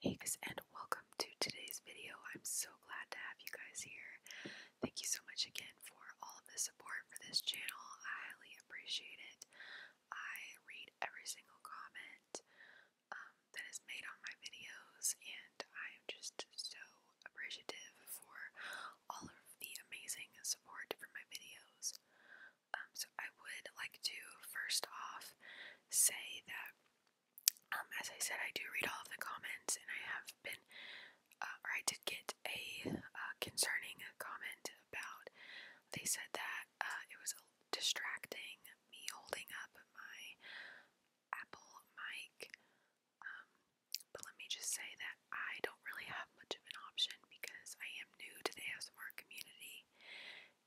Hey guys and welcome to today's video. I'm so glad to have you guys here. Thank you so much again for all of the support for this channel. I highly appreciate it. I read every single comment um, that is made on my videos I am just so appreciative for all of the amazing support for my videos. Um, so I would like to first off say that, um, as I said, I do read all of the comments, and I have been, uh, or I did get a uh, concerning comment about. They said that uh, it was distracting me holding up my Apple mic. Um, but let me just say that I don't really have much of an option because I am new to the ASMR community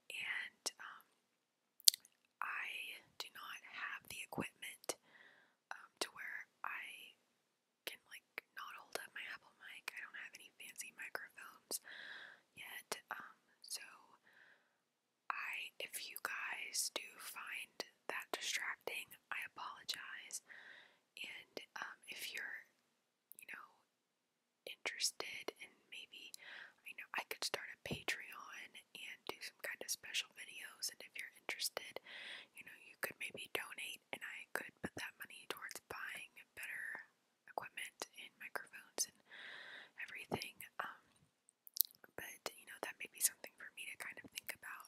and um, I do not have the equipment um, to where I can like not hold up my Apple mic. I don't have any fancy microphones yet. Um, so I, if you guys do find that distracting, I apologize. And um, if you're, you know, interested in maybe, you know, I could start a Patreon and do some kind of special videos. And if you're interested, you know, you could maybe donate and I could put that money towards buying better equipment and microphones and everything. Um, but you know that may be something for me to kind of think about.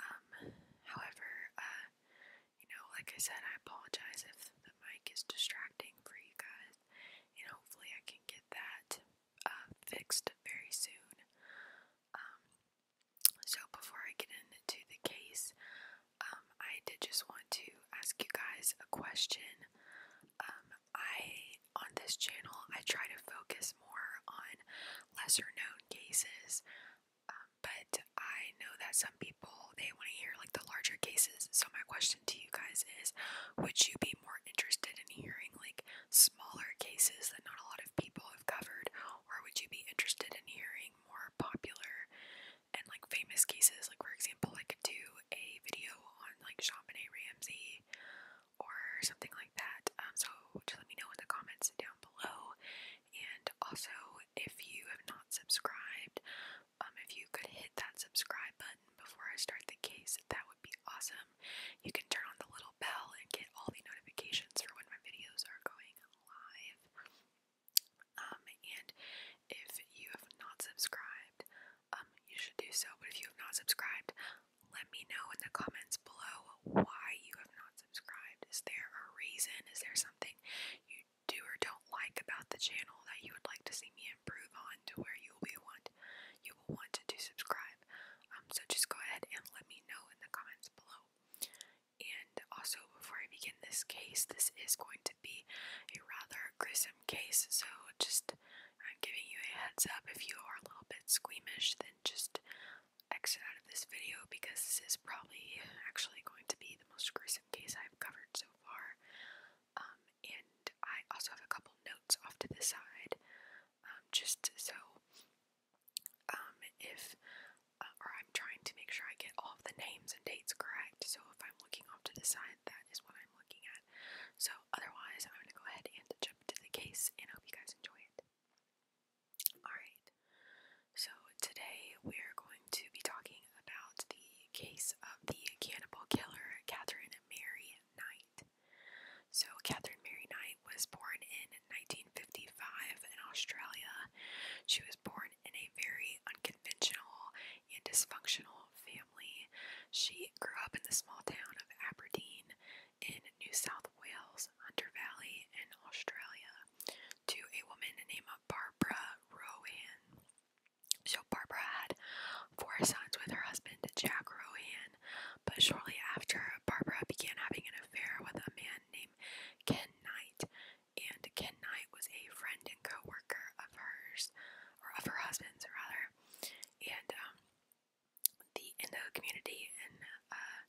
Um, however, uh, you know, like I said, I apologize if the mic is distracting for you guys, and hopefully I can get that uh, fixed very soon. Um, so before I get into the case, um, I did just want to ask you guys a question. Um, I on this channel, I try to focus more on lesser known cases, um, but I know that some people they want to hear like the larger cases. So, my question to you guys is would you be more interested in hearing like smaller cases that not a lot of people have covered, or would you be interested in hearing more popular and like famous cases? Like, for example, I could do a video on like Champagne Ramsey or something like that. Um, so just let me know in the comments down below. And also, if you have not subscribed, um, if you could hit that subscribe button before I start the case, that would be awesome. You can turn on the little bell and get all the notifications for when my videos are going live. Um, and if you have not subscribed, um, you should do so. But if you have not subscribed, let me know in the comments below why you have not subscribed. Is there a reason? Is there something you do or don't like about the channel that you would like to see me improve on to where you will be want you will want to subscribe? Um, so just go ahead and let me know in the comments below. And also, before I begin this case, this is going to be a rather gruesome case, so just I'm giving you a heads up. If you are a little bit squeamish, then just exit out of this video because this is probably actually going to be the most gruesome case I've covered so far. Um, and I also have a couple notes off to the side, um, just so um, if, uh, or I'm trying to make sure I get all of the names and dates correct. So if I'm looking off to the side, that is what I'm looking at. So otherwise, I'm going to go ahead and jump to the case, and I hope you guys enjoy it. Alright, so today we're going to be talking about the case of the cannibal killer Catherine Mary Knight. So, Catherine Mary Knight was born in 1955 in Australia. She was born in a very unconventional and dysfunctional family. She grew up in the small town of Aberdeen in New South Wales, Hunter Valley, in Australia to a woman named Barbara Rowan. So, Barbara had four sons with her husband, Jack Rowan, but shortly after, Barbara began having an affair with a man named Ken Knight, and Ken Knight was a friend and co worker of hers, or of her husband's, rather. And um, the in the community in uh,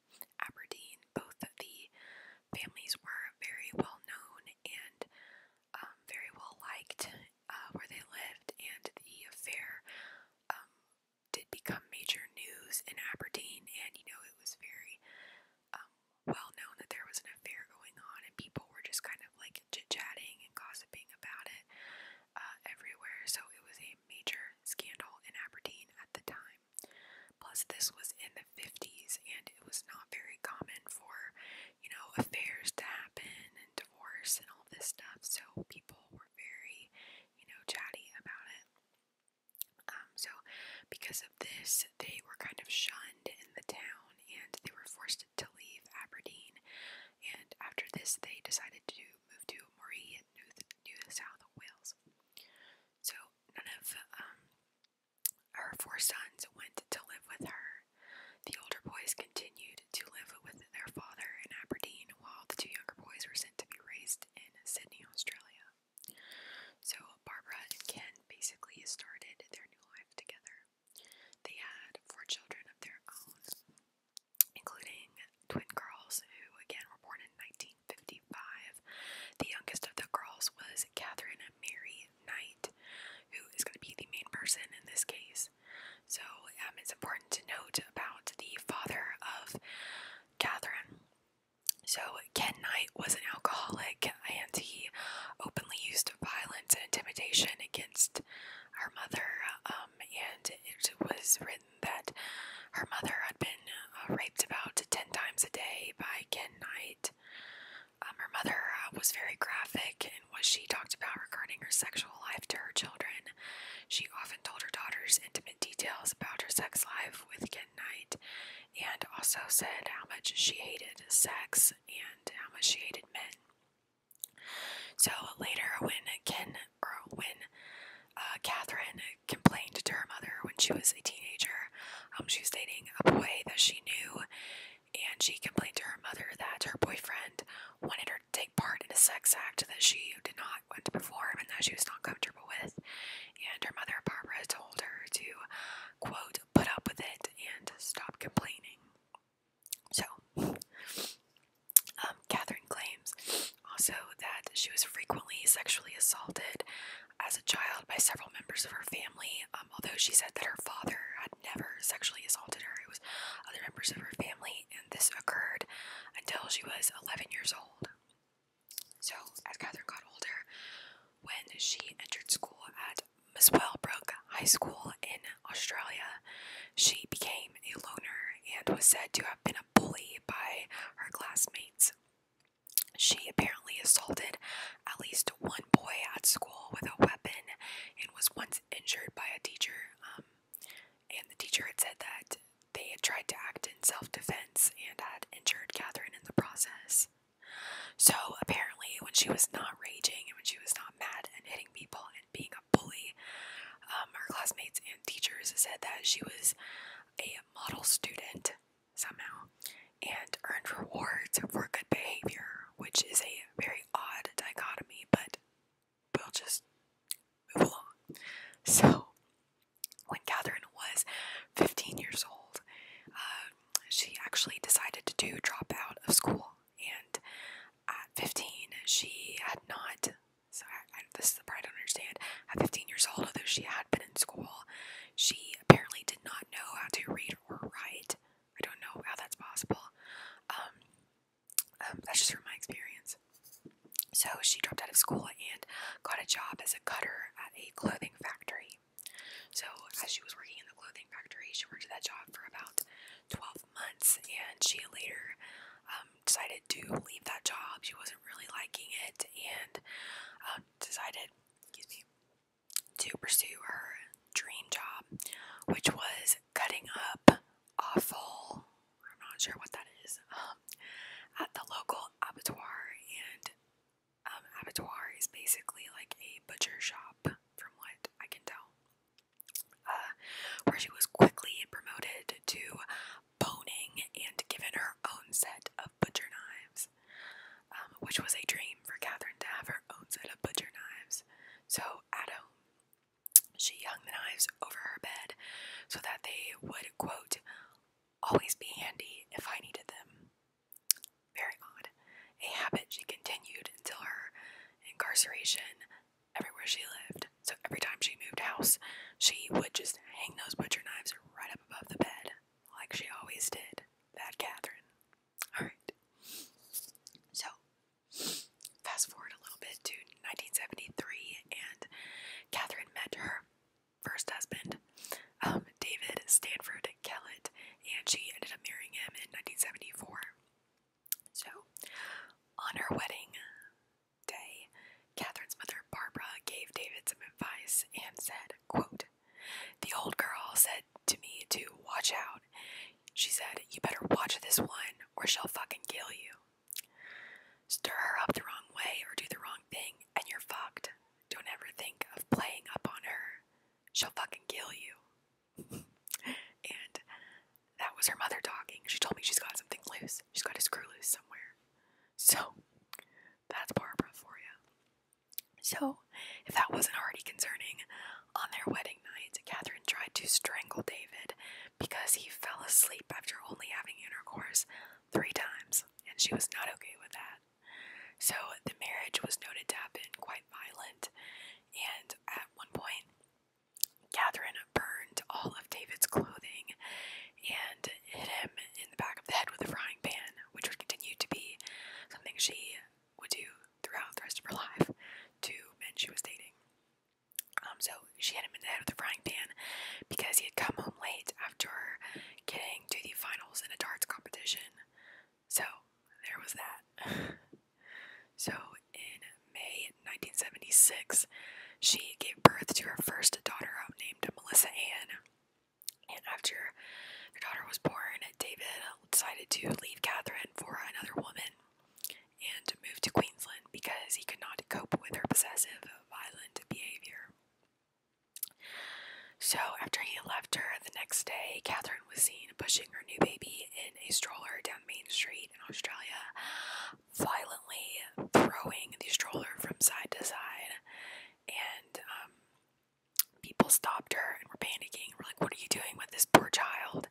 Aberdeen, both of the families were very well known and um, very well liked uh, where they lived, and the affair um, did become major news in Aberdeen, and you know it was very um, well known that there was an affair going on, and people were just kind of like chit chatting and gossiping about it uh, everywhere, so it was a major scandal in Aberdeen at the time. Plus, this was in the 50s, and it was not very common for, you know, affairs to happen and divorce and all this stuff, so people were very, you know, chatty about it. Um, so, because of this, they were kind of shunned in the town and they were forced to leave Aberdeen. And after this, they decided to move to Moree Australia, New, New South Wales. So none of um, her four sons went to live with her. The older boys continued to live with their father in Aberdeen, while the two younger boys were sent to be raised in Sydney, Australia. So Barbara and Ken basically started their new life together. They had four children of their own including twin girls who again were born in 1955. The youngest of the girls was Catherine Mary Knight, who is going to be the main person in this case. So um, it's important to note about the father of Catherine. So, Ken Knight was an alcoholic and he openly used violence and intimidation against her mother, um, and it was that her mother had been uh, raped about 10 times a day by Ken Knight. Um, her mother uh, was very graphic in what she talked about regarding her sexual life to her children. She often told her daughters intimate details about her sex life with Ken Knight and also said how much she hated sex and how much she hated men. So later, when Ken or when uh, Catherine complained to her mother when she was a teenager. Um, she was dating a boy that she knew, and she complained to her mother that her boyfriend wanted her to take part in a sex act that she did not want to perform and that she was not comfortable with. And her mother, Barbara, told her to, quote, put up with it and stop complaining. So, um, Catherine claims also that she was frequently sexually assaulted as a child by several members of her family, um, although she said that her father had never sexually assaulted her. It was other members of her family, and this occurred until she was 11 years old. So, as Catherine got older, when she entered school at Miswellbrook High School in Australia, she became a loner and was said to have been a bully by her classmates. She apparently assaulted at least one boy at school with a weapon and was once injured by a teacher. Um, and the teacher had said that they had tried to act in self defense and had injured Catherine in the process. So apparently, when she was not raging and when she was not mad and hitting people and being a bully, um, her classmates and teachers said that she was a model student somehow and earned rewards for good behavior, which is a very odd dichotomy, but we'll just move along. So, when Catherine was 15 years old, um, she actually decided to do drop out of school, and at 15, she had not so I, this is the part I don't understand. At 15 years old, although she had been in school, she apparently did not know how to read or write. I don't know how that's possible. Um, um, that's just from my experience. So she dropped out of school and got a job as a cutter at a clothing factory. So as she was working in the clothing factory, she worked at that job for about 12 months, and she later um, decided to leave that job. She wasn't really liking it and um, decided, excuse me, to pursue her dream job, which was cutting up awful, I'm not sure what that is, um, at the local abattoir. And um, abattoir is basically like a butcher shop, from what I can tell, uh, where she was quickly promoted to boning and given her own set of butcher knives, um, which was a dream for Catherine to have her own set of butcher knives. So at home, she hung the knives over her bed so that they would, quote, always be handy if I needed them. Very odd. A habit she continued until her incarceration everywhere she lived. So every time she moved house, she would just hang those butcher knives right up above the bed, like she always did. Bad Catherine. Alright. So, fast forward a little bit to 1973, and Catherine met her first husband, um, David Stanford Kellett, and she ended up marrying him in 1974. So, on her wedding day, Catherine's mother, Barbara, gave David some advice and said, quote, The old girl said to me to watch out. She said, You better watch this one or she'll fucking kill you. Stir her up the wrong way or do the wrong thing and you're fucked. Don't ever think of playing up on her. She'll fucking kill you. and that was her mother talking. She told me she's got something loose. She's got a screw loose somewhere. So that's Barbara for you. So, if that wasn't already concerning, on their wedding night, Catherine tried to strangle David because he fell asleep after only having intercourse three times, and she was not okay with that. So, the marriage was noted to have been quite violent, and at one point, Catherine burned all of David's clothing and hit him in the back of the head with a frying pan, which would continue to be something she would do throughout the rest of her life to men she was dating. Um, so she hit him in the head with a frying pan because he had come home late after getting to the finals in a darts competition. So there was that. so in May 1976, she gave birth to her first daughter, um, named Melissa Ann. And after her daughter was born, David decided to leave Catherine for another woman and moved to Queensland because he could not cope with her possessive, violent behavior. So, after he left her the next day, Catherine was seen pushing her new baby in a stroller down Main Street in Australia violently throwing the stroller from side to side, and um, people stopped her and were panicking. We're like, "What are you doing with this poor child?"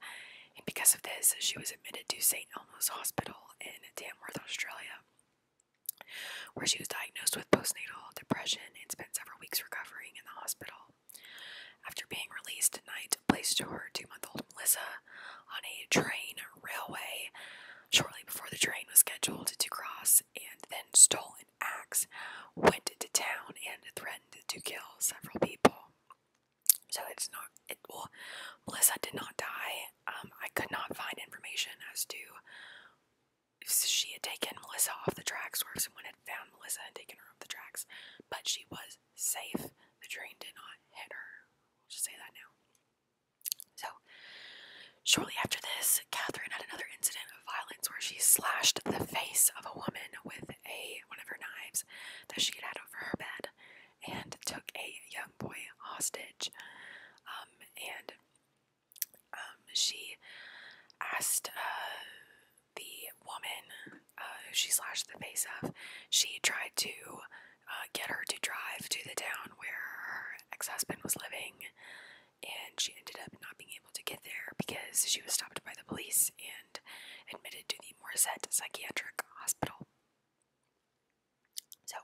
And because of this, she was admitted to St. Elmo's Hospital in Tamworth, Australia, where she was diagnosed with postnatal depression and spent several weeks recovering in the hospital. After being released, Knight placed her two month old Melissa on a train railway shortly before the train was scheduled to cross, and then stole an axe, went to town, and threatened to kill several people. So it's not, well, Melissa did not die. Um, I could not find information as to if she had taken Melissa off the tracks or if someone had found Melissa and taken her off the tracks, but she was safe. The train did not hit her. I'll just say that now. So, shortly after this, Catherine had another incident of violence where she slashed the face of a woman with a one of her knives that she had had over her bed, and took a young boy hostage. Um, and um, she asked uh, the woman uh, who she slashed the face of. She tried to uh, get her to drive to the town where her ex husband was living, and she ended up not being able to get there because she was stopped by the police and admitted to the Morissette Psychiatric Hospital. So,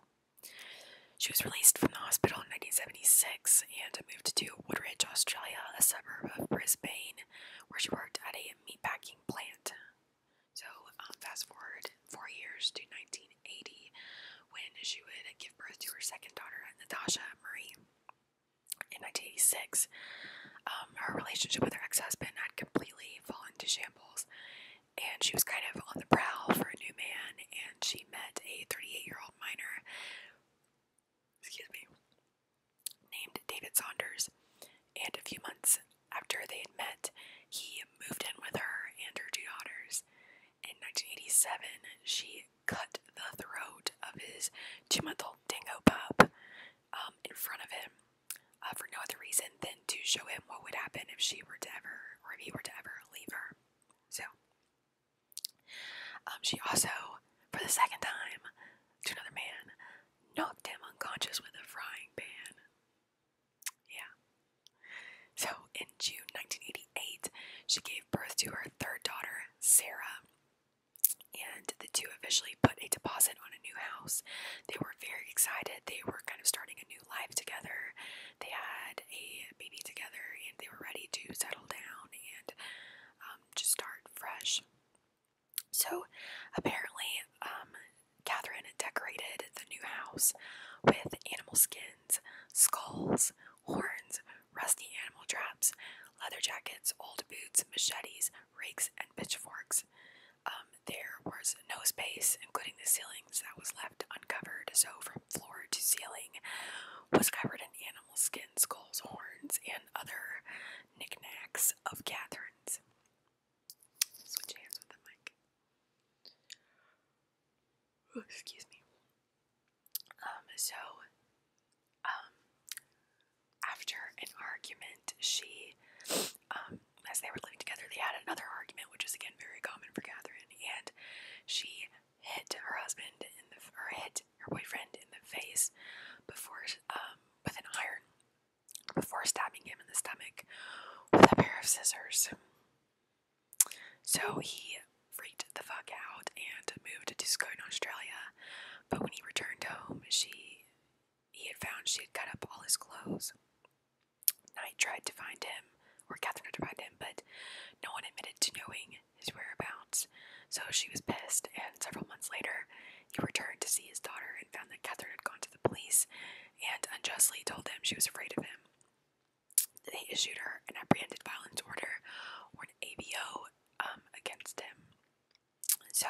she was released from the hospital in 1976 and moved to Woodridge, Australia, a suburb of Brisbane, where she worked at a meatpacking plant. So, um, fast forward four years to 19. 1980 when she would give birth to her second daughter, Natasha Marie. In 1986, um, her relationship with her ex husband had completely fallen to shambles, and she was kind of on the prowl for a new man. And she met a 38 year old miner, excuse me, named David Saunders. And a few months after they had met, he moved in with her and her two daughters, in 1987, she cut the throat of his two month old dingo pup um, in front of him uh, for no other reason than to show him what would happen if she were to ever, or if he were to ever leave her. So, um, she also, for the second time, to another man, knocked him unconscious with a frying pan. Yeah. So in June 1988, she gave birth to her third daughter, Sarah, and the two officially put a deposit on a new house. They were very excited. They were kind of starting a new life together. They had a baby together, and they were ready to settle down and um, just start fresh. So apparently, um, Catherine decorated the new house with animal skin skulls, horns, rusty animal traps, leather jackets, old boots, machetes, rakes, and pitchforks. Um, there was no space, including the ceilings, that was left uncovered, so from floor to ceiling was covered in animal skins, skulls, horns, and other knickknacks of Catherine's. Switch hands with the mic excuse me. Um, so, um, after an argument, she, um, as they were living together, they had another argument, which is again very common for Catherine, and she hit her husband in the, or hit her boyfriend in the face before, with an iron, before stabbing him in the stomach with a pair of scissors. So he freaked the fuck out and moved to Scone, Australia. But when he returned home, she he had found she had cut up all his clothes. Knight tried to find him, or Catherine tried to find him, but no one admitted to knowing his whereabouts. So she was pissed, and several months later, he returned to see his daughter and found that Catherine had gone to the police and unjustly told them she was afraid of him. They issued her an apprehended violence order, or an ABO um, against him. So,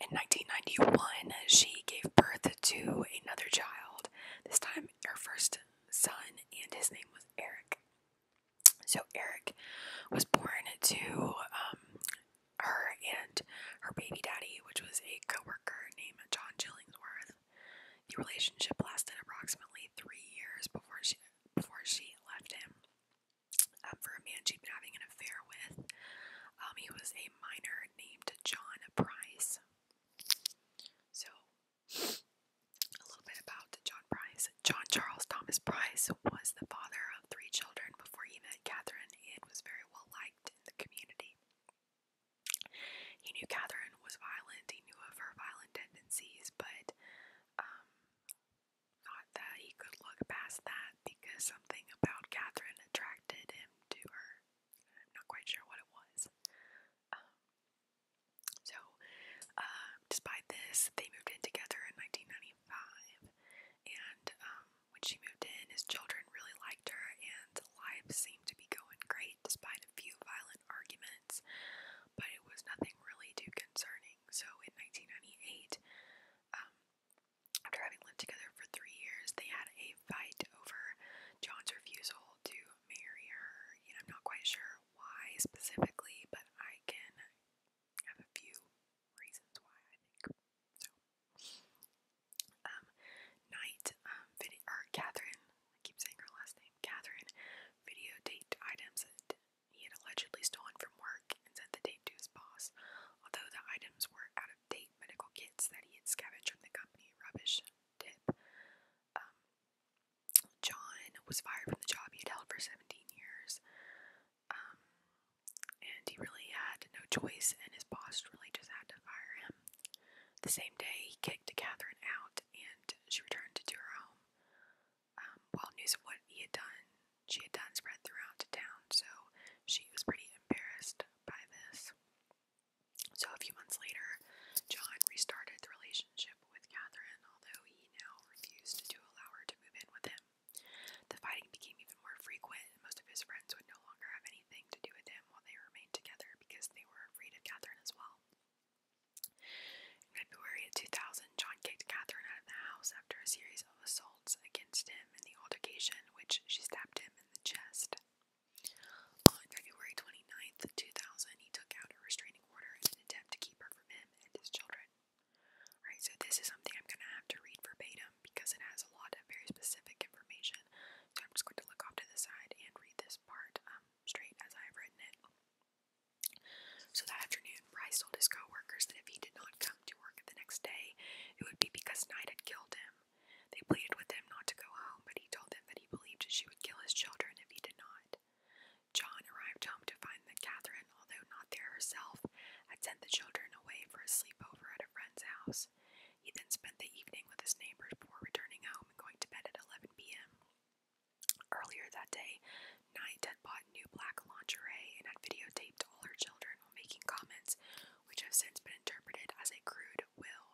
in 1991, she gave birth to another child, this time her first son, and his name was Eric. So, Eric was born to um, her and her baby daddy, which was a co worker named John Chillingsworth. The relationship lasted approximately three years before she before she left him. Um, for a man she'd been having an affair with, um, he was a miner named John Price. So, a little bit about John Price. John Charles Thomas Price was the father of three children before he met Catherine and was very well liked in the community. He knew Catherine was violent, he knew of her violent tendencies, but um, that he could look past that because something about Catherine attracted him to her. I'm not quite sure what it was. Um, so, um, despite this, they moved in together in 1995, and um, when she moved in, his children really liked her, and life seemed to be going great fight despite a few violent arguments, but it was nothing really too concerning. So in 1998, um, after having lived together for three years, they had a fight over John's refusal to marry her. And I'm not quite sure why specifically, but I can have a few reasons why I think so. Um, Knight, um, vid- or Catherine I keep saying her last name, Catherine, videotaped items that he had allegedly stolen from work and sent the tape to his boss, although the items were out of date medical kits that he had scavenged from the company rubbish tip. Um, John was fired from the job he had held for 17 years, um, and he really had no choice, and his boss really just had to fire him. The same day, he kicked Catherine out and she returned to her home. Um, while news of what he had done, she had done spread throughout the town, so she was pretty embarrassed by this. So a few months later, John restarted the relationship with Catherine, although he now refused to allow her to move in with him. The fighting became even more frequent, and most of his friends would no longer have anything to do with him while they remained together because they were afraid of Catherine as well. In February of 2000, John kicked Catherine out of the house after a series of assaults against him in the altercation, which she stabbed him in the chest. On February 29th, 2000, he took out a restraining order in an attempt to keep her from him and his children. Alright, so this is something I'm going to have to read verbatim because it has a lot of very specific information. So I'm just going to look off to the side and read this part. Um, straight as I have written it. So that afternoon, Bryce told his coworkers that if he did not come to work the next day, it would be because Knight had killed him. They pleaded with him not to go home, but he told them that he believed she would kill his children if he did not. John arrived home to find that Catherine, although not there herself, had sent the children away for a sleepover at a friend's house. He then spent the evening with his neighbors before returning home and going to bed at 11 p.m. Earlier that day, Knight had bought new black lingerie and had videotaped all her children while making comments, which have since been interpreted as a crude will.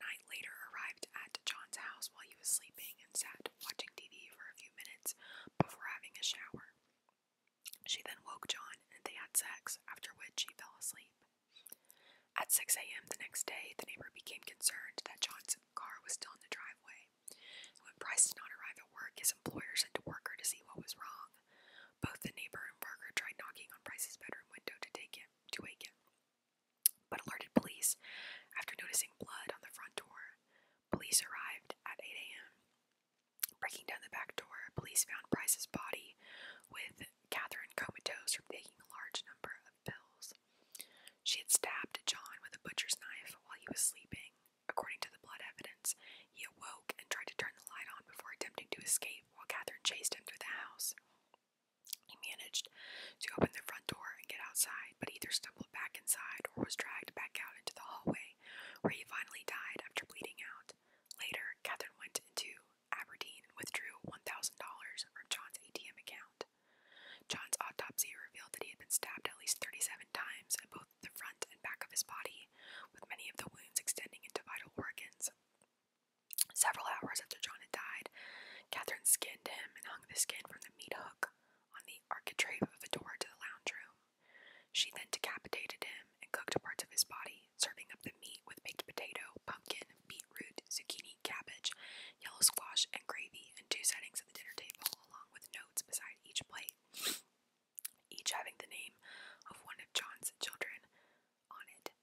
Knight later arrived at John's house while he was sleeping and sat watching TV for a few minutes before having a shower. She then woke John and they had sex, after which he fell asleep. At 6 a.m. the next day, the neighbor became concerned that Johnson's car was still in the driveway. when Price did not arrive at work, his employer sent a worker to see what was wrong. Both the neighbor and worker tried knocking on Price's bedroom window to wake him, but alerted police after noticing blood on the front door. Police arrived at 8 a.m. Breaking down the back door, police found Price's body with Catherine comatose from taking a large number of pills. She had stabbed John with a butcher's knife while he was sleeping. According to the blood evidence, he awoke and tried to turn the light on before attempting to escape while Catherine chased him through the house. He managed to open the front door and get outside, but either stumbled back inside or was dragged back out into the hallway, where he finally died after bleeding out. Later, Catherine went into Aberdeen withdrew $1,000 from John's ATM account. John's autopsy revealed that he had been stabbed at least 37 times in both the front and back of his body, with many of the wounds extending into vital organs. Several hours after John had died, Catherine skinned him and hung the skin from the meat hook on the architrave of the door to the lounge room. She then decapitated him and cooked parts of his body, serving up the meat with baked potato, pumpkin, and beef, root, zucchini, cabbage, yellow squash, and gravy, and two settings at the dinner table, along with notes beside each plate, each having the name of one of John's children on it.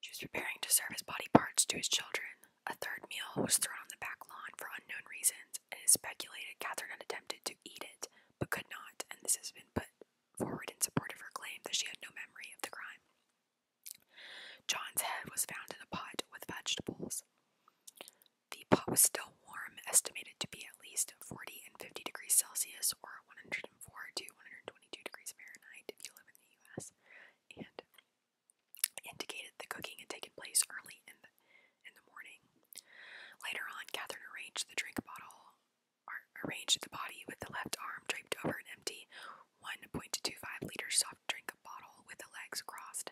She was preparing to serve his body parts to his children. A third meal was thrown on the back lawn for unknown reasons, and it is speculated Catherine had attempted to eat it, but could not, and this has been put forward in support of her claim that she had no memory of the crime. John's head was found in a pot with vegetables. The pot was still warm, estimated to be at least 40 and 50 degrees Celsius or 104 to 122 degrees Fahrenheit if you live in the US, and indicated the cooking had taken place early in the, morning. Later on, Catherine arranged the drink bottle, arranged the body with the left arm draped over an empty 1.25 liter soft drink bottle with the legs crossed.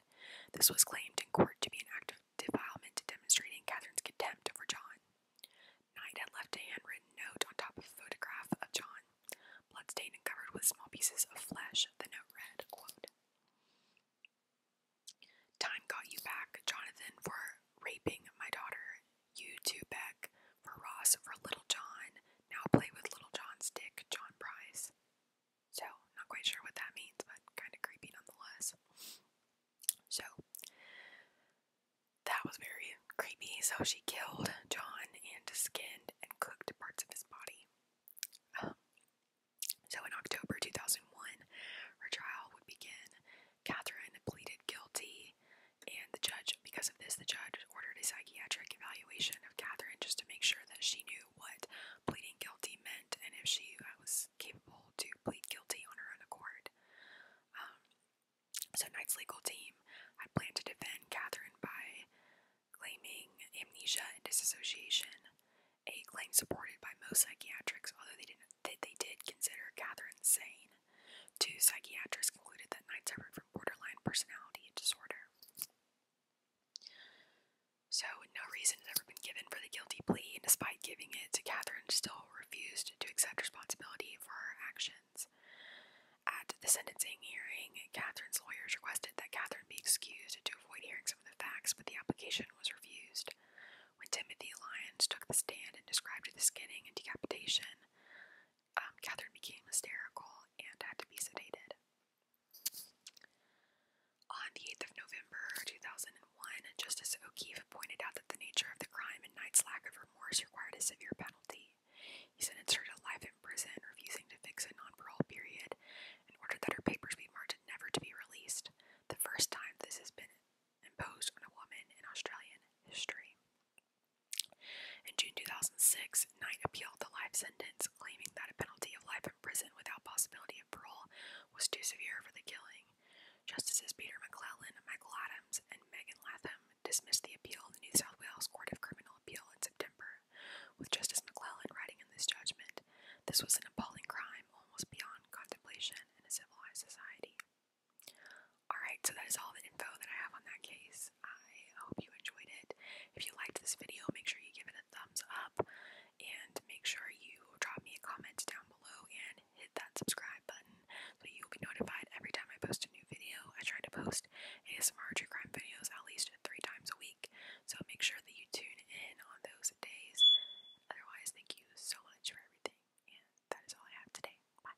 This was claimed in court to be an act of defilement demonstrating Catherine's contempt for John. Knight had left a handwritten note on top of a photograph of John, bloodstained and covered with small pieces of flesh. The note read, quote, Time got you back, Jonathan, for raping my daughter. You too, Beck, for Ross, for little John, now play with Little John's dick, John Price. So, not quite sure what that means, but kind of creepy nonetheless. So, that was very creepy. So, she killed John and skinned and cooked parts of his body. Um, so, in October 2001, her trial would begin. Catherine pleaded guilty and the judge, because of this, the judge ordered a psychiatric evaluation of Catherine just to make sure that she knew what pleading guilty meant and if she uh, was capable to plead guilty on her own accord. Um, so Knight's legal team had planned to defend Catherine by claiming amnesia and disassociation, a claim supported by most psychiatrics, although they did consider Catherine sane. Two psychiatrists concluded that Knight's effort borderline personality disorder. So, no reason has ever been given for the guilty plea, and despite giving it, Catherine still refused to accept responsibility for her actions. At the sentencing hearing, Catherine's lawyers requested that Catherine be excused to avoid hearing some of the facts, but the application was refused. When Timothy Lyons took the stand and described the skinning and decapitation, um, Catherine became hysterical and had to be sedated. On the 8th of November 2001, Justice O'Keefe pointed out that the nature of the crime and Knight's lack of remorse required a severe penalty. He sentenced her to life in prison, refusing to fix a non parole period, in order that her papers be marked never to be released, the first time this has been imposed on a woman in Australian history. In June 2006, Knight appealed the life sentence, claiming that a penalty of life in prison without possibility of parole was too severe for the killing. Justices Peter McClellan, Michael Adams, and Megan Latham dismissed the appeal in the New South Wales Court of Criminal Appeal in September, with Justice McClellan writing in this judgment, This was an appalling crime, almost beyond contemplation in a civilized society. Alright, so that is all the info that I have on that case. I hope you enjoyed it. If you liked this video, make sure you give it a thumbs up and make sure you drop me a comment down below and hit that subscribe button so you'll be notified every time I post a new video. I try to post ASMR true crime videos at least three times a week, so make sure that you tune in on those days. Otherwise, thank you so much for everything, and that is all I have today. Bye.